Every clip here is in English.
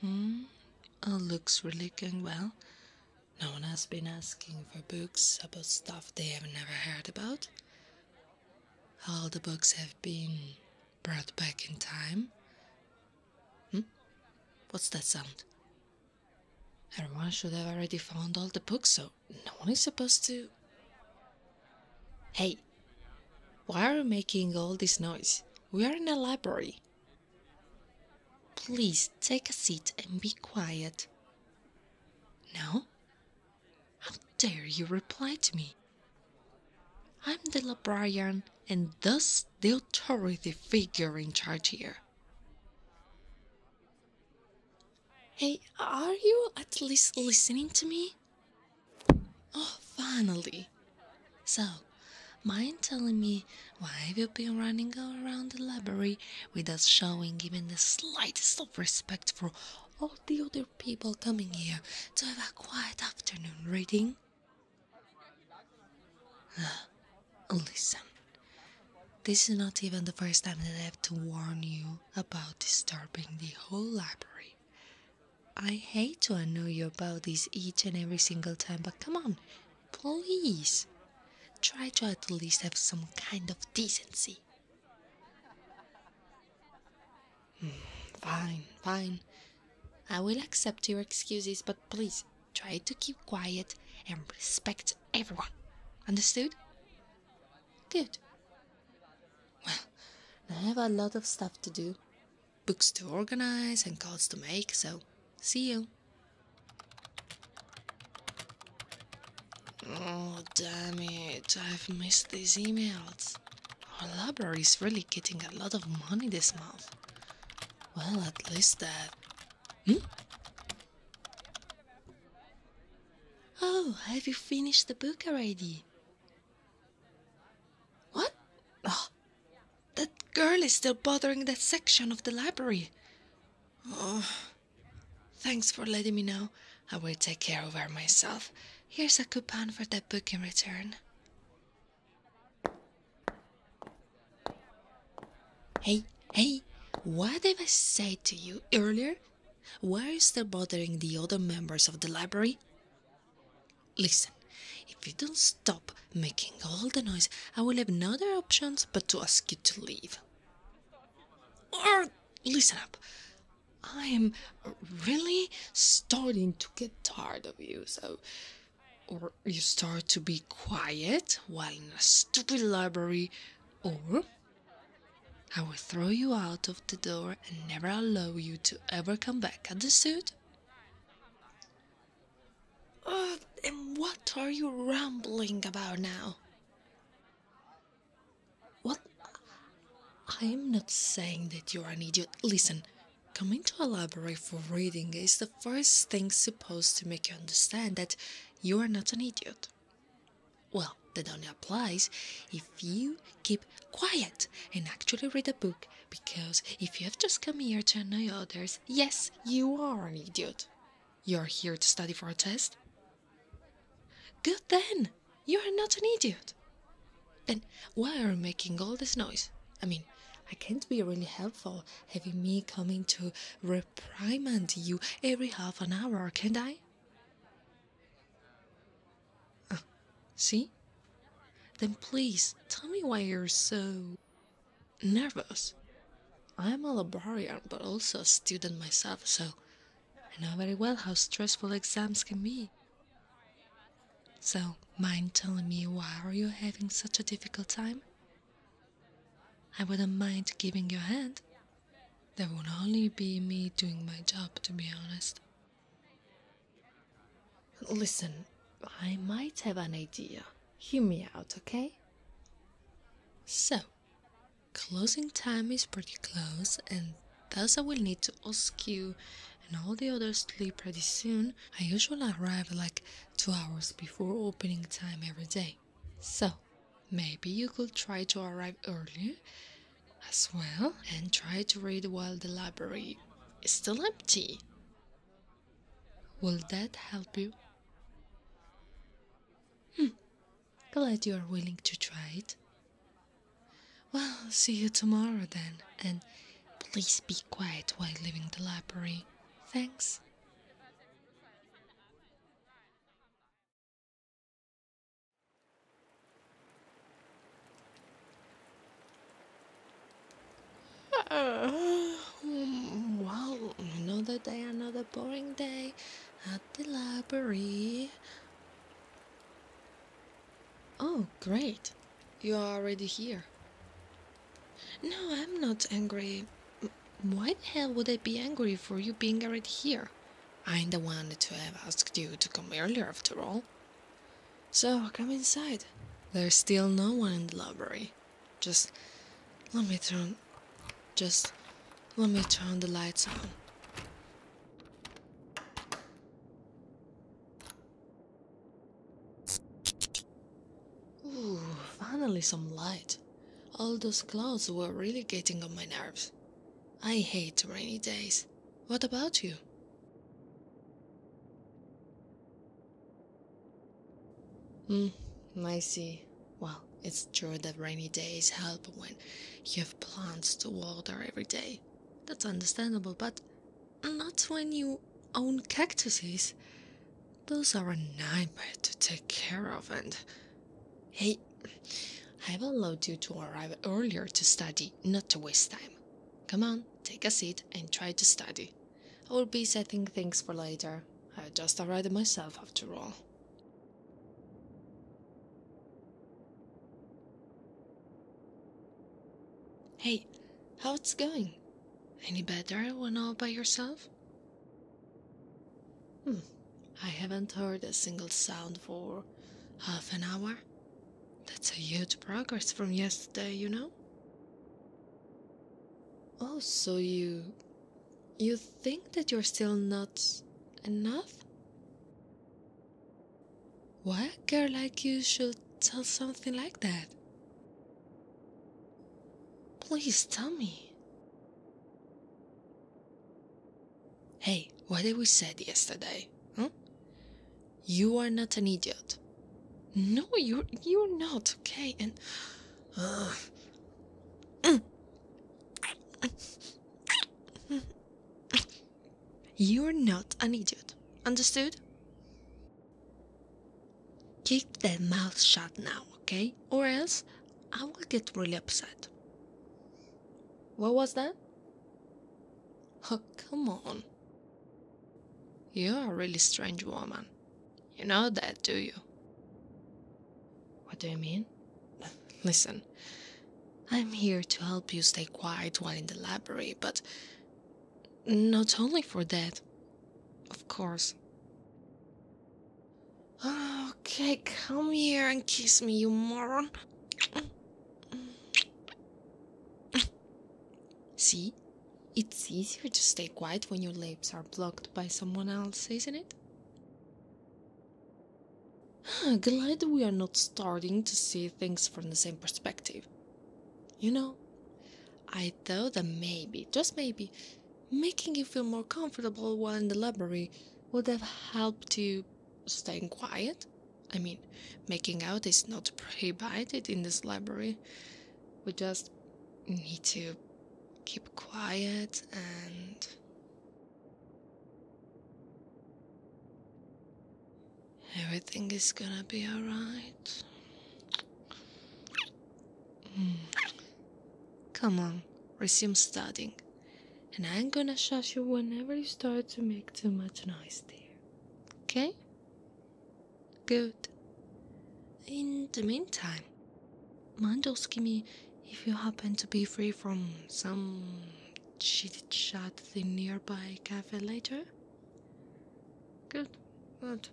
hmm It looks really going well. No one has been asking for books about stuff they have never heard about. All the books have been brought back in time. Hmm? What's that sound? Everyone should have already found all the books, so no one is supposed to. Hey, why are you making all this noise? We are in a library. Please take a seat and be quiet. No? How dare you reply to me? I'm the librarian and thus the authority figure in charge here. Hey, are you at least listening to me? Oh, finally! So, mind telling me why you've been running around the library without showing even the slightest of respect for all the other people coming here to have a quiet afternoon reading? Listen, this is not even the first time that I have to warn you about disturbing the whole library. I hate to annoy you about this each and every single time, but come on, please. Try to at least have some kind of decency. Hmm, fine, fine. I will accept your excuses, but please try to keep quiet and respect everyone. Understood? Good. Well, I have a lot of stuff to do books to organize and calls to make, so see you. Oh, damn it, I've missed these emails. Our library is really getting a lot of money this month. Well, at least that... Hmm? Oh, have you finished the book already? What? Ah, that girl is still bothering that section of the library. Oh, thanks for letting me know. I will take care of her myself. Here's a coupon for that book in return. Hey, hey, what did I say to you earlier? Why are you still bothering the other members of the library? Listen, if you don't stop making all the noise, I will have no other options but to ask you to leave. Or listen up. I am really starting to get tired of you, so. Or you start to be quiet while in a stupid library, or I will throw you out of the door and never allow you to ever come back, understood? Uh, and what are you rambling about now? What? I am not saying that you are an idiot. Listen, coming to a library for reading is the first thing supposed to make you understand that you are not an idiot. Well, that only applies if you keep quiet and actually read a book because if you have just come here to annoy others, yes, you are an idiot. You're here to study for a test? Good then! You are not an idiot! And why are you making all this noise? I mean, I can't be really helpful having me coming to reprimand you every half an hour, can't I? see? Then please tell me why you're so nervous. I'm a librarian, but also a student myself, so I know very well how stressful exams can be. So, mind telling me why are you having such a difficult time? I wouldn't mind giving you a hand. That would only be me doing my job, to be honest. Listen, I might have an idea. Hear me out, okay? So, closing time is pretty close, and thus I will need to ask you and all the others to leave pretty soon. I usually arrive like two hours before opening time every day. So, maybe you could try to arrive earlier as well and try to read while the library is still empty. Will that help you? Hmm, glad you are willing to try it. Well, see you tomorrow then, and please be quiet while leaving the library. Thanks. Uh, another day, another boring day at the library. Oh, great. You are already here. No, I'm not angry. Why the hell would I be angry for you being already here? I'm the one to have asked you to come earlier, after all. So, come inside. There's still no one in the library. Just let me turn... Just let me turn the lights on. Ooh, finally some light. All those clouds were really getting on my nerves. I hate rainy days. What about you? Hmm, I see. Well, it's true that rainy days help when you have plants to water every day. That's understandable, but not when you own cactuses. Those are a nightmare to take care of and. Hey, I've allowed you to arrive earlier to study, not to waste time. Come on, take a seat and try to study. I will be setting things for later. I just arrived myself after all. Hey, how's it going? Any better when all by yourself? Hmm, I haven't heard a single sound for half an hour. That's a huge progress from yesterday, you know? Oh, so you. you think that you're still not. enough? Why a girl like you should tell something like that? Please tell me. Hey, what did we said yesterday? Huh? Hmm? You are not an idiot. No, you're you're not okay. And uh, you're not an idiot. Understood? Keep that mouth shut now, okay? Or else I will get really upset. What was that? Oh, come on. You're a really strange woman. You know that, do you? What do you mean? Listen, I'm here to help you stay quiet while in the library, but not only for that. Of course. Oh, Okay, come here and kiss me, you moron. See? It's easier to stay quiet when your lips are blocked by someone else, isn't it? Glad we are not starting to see things from the same perspective. You know, I thought that maybe, just maybe, making you feel more comfortable while in the library would have helped you staying quiet. I mean, making out is not prohibited in this library. We just need to keep quiet and. Everything is gonna be alright. Hmm. Come on, resume studying and I'm gonna shut you whenever you start to make too much noise, dear. Okay? Good. In the meantime, mind asking me if you happen to be free from some chit chat in nearby cafe later. Good, good.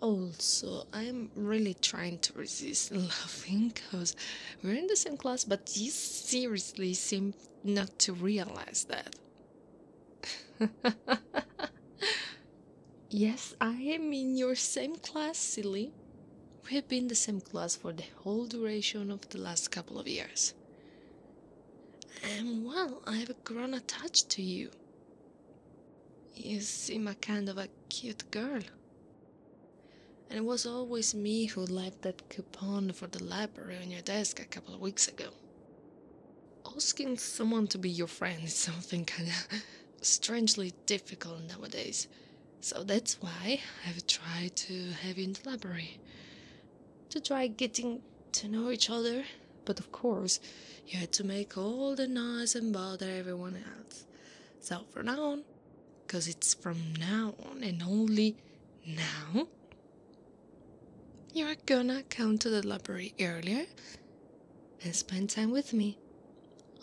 Also, I'm really trying to resist laughing because we're in the same class, but you seriously seem not to realize that. yes, I am in your same class, silly. We've been the same class for the whole duration of the last couple of years. And well, I've grown attached to you. You seem a kind of a cute girl. And it was always me who left that coupon for the library on your desk a couple of weeks ago. Asking someone to be your friend is something kinda strangely difficult nowadays, so that's why I've tried to have you in the library. To try getting to know each other, but of course, you had to make all the noise and bother everyone else. So for now on, because it's from now on and only now you're gonna come to the library earlier and spend time with me.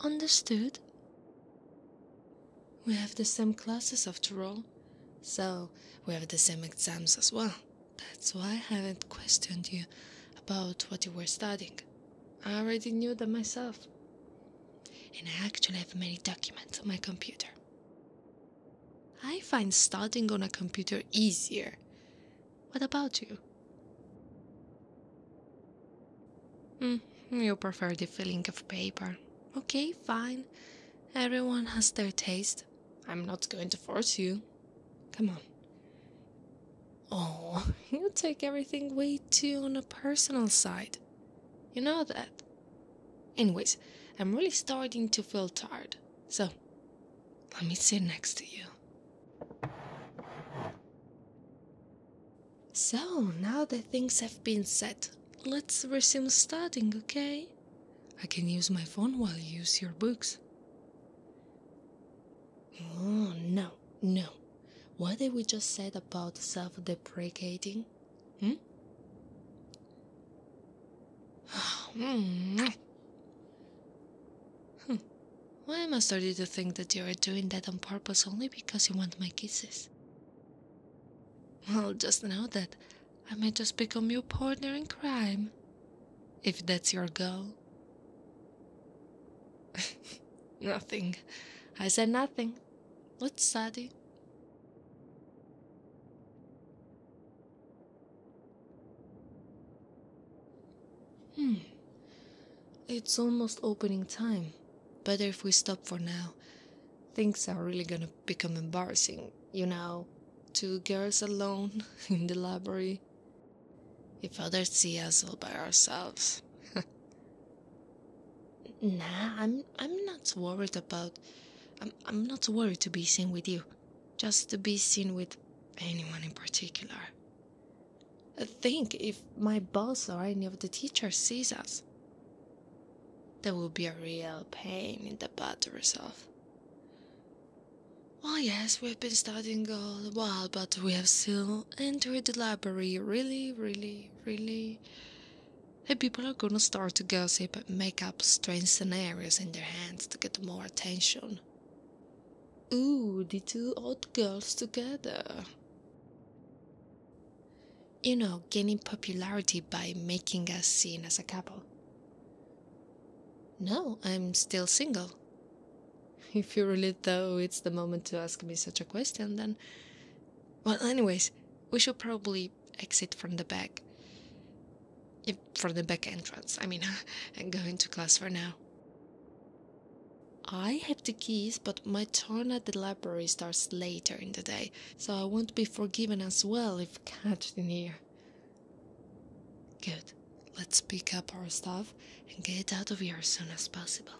Understood? We have the same classes after all, so we have the same exams as well. That's why I haven't questioned you about what you were studying. I already knew that myself and I actually have many documents on my computer. I find studying on a computer easier. What about you? Mm, you prefer the feeling of paper. Okay, fine. Everyone has their taste. I'm not going to force you. Come on. Oh, you take everything way too on a personal side. You know that. Anyways, I'm really starting to feel tired, so let me sit next to you. So, now that things have been said, let's resume studying, okay? I can use my phone while you use your books. Oh, no, no, what did we just say about self-deprecating? Hmm? hmm? hmm. Why am I starting to think that you are doing that on purpose only because you want my kisses? Well, just know that I may just become your partner in crime. If that's your goal. nothing. I said nothing. What's let hmm. It's almost opening time. Better if we stop for now. Things are really gonna become embarrassing, you know. Two girls alone in the library. If others see us all by ourselves. Nah, I'm I'm not worried about I'm I'm not worried to be seen with you. Just to be seen with anyone in particular. I think if my boss or any of the teachers sees us, there will be a real pain in the butt to resolve. Well, oh, yes, we've been studying all the while, but we have still entered the library really, really, really the people are gonna start to gossip and make up strange scenarios in their heads to get more attention. Ooh, the two old girls together. You know, gaining popularity by making us seen as a couple. No, I'm still single. If you really though it's the moment to ask me such a question, then well, anyways, we should probably exit from the back. If, from the back entrance, I mean, and go into class for now. I have the keys, but my turn at the library starts later in the day, so I won't be forgiven as well if caught in here. Good. Let's pick up our stuff and get out of here as soon as possible.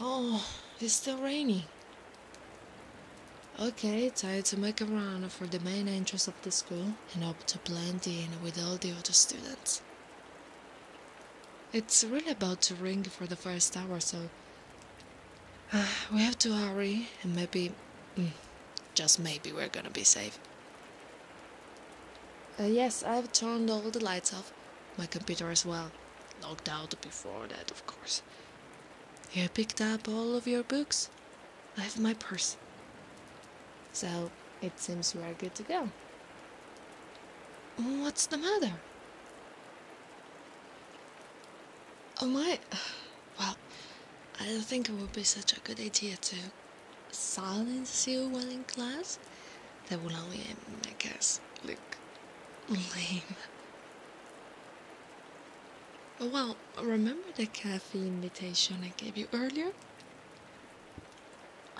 Oh, it's still raining. Okay, time to make a run for the main entrance of the school and hope to blend in with all the other students. It's really about to ring for the first hour, so uh, we have to hurry and maybe mm, just maybe we're gonna be safe. Uh, yes, I've turned all the lights off. My computer as well. Logged out before that, of course. You picked up all of your books? I have my purse. So, it seems we are good to go. What's the matter? Oh my! Well, I don't think it would be such a good idea to silence you while in class. That would only I guess, look lame. Well, remember the cafe invitation I gave you earlier?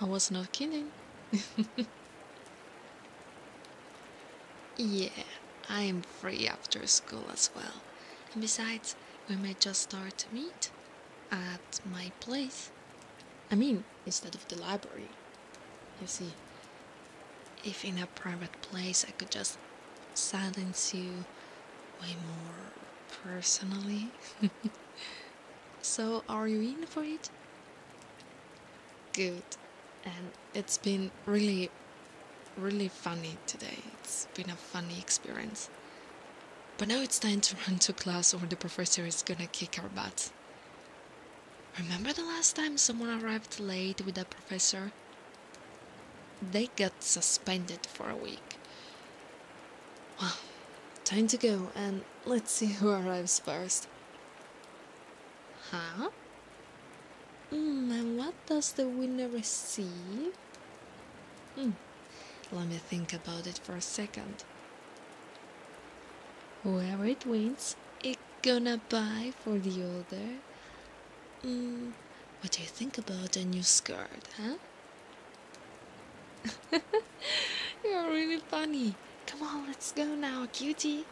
I was not kidding. yeah, I am free after school as well. And besides, we may just start to meet at my place. I mean, instead of the library. You see, if in a private place I could just silence you way more personally. so, are you in for it? Good. And it's been really really funny today. It's been a funny experience. But now it's time to run to class or the professor is gonna kick our butts. Remember the last time someone arrived late with a professor? They got suspended for a week. Well, time to go and let's see who arrives first. Huh? Hmm, what? does the winner receive? Hmm. Let me think about it for a second. Whoever it wins, it gonna buy for the other. Hmm, what do you think about a new skirt, huh? You're really funny. Come on, let's go now, cutie.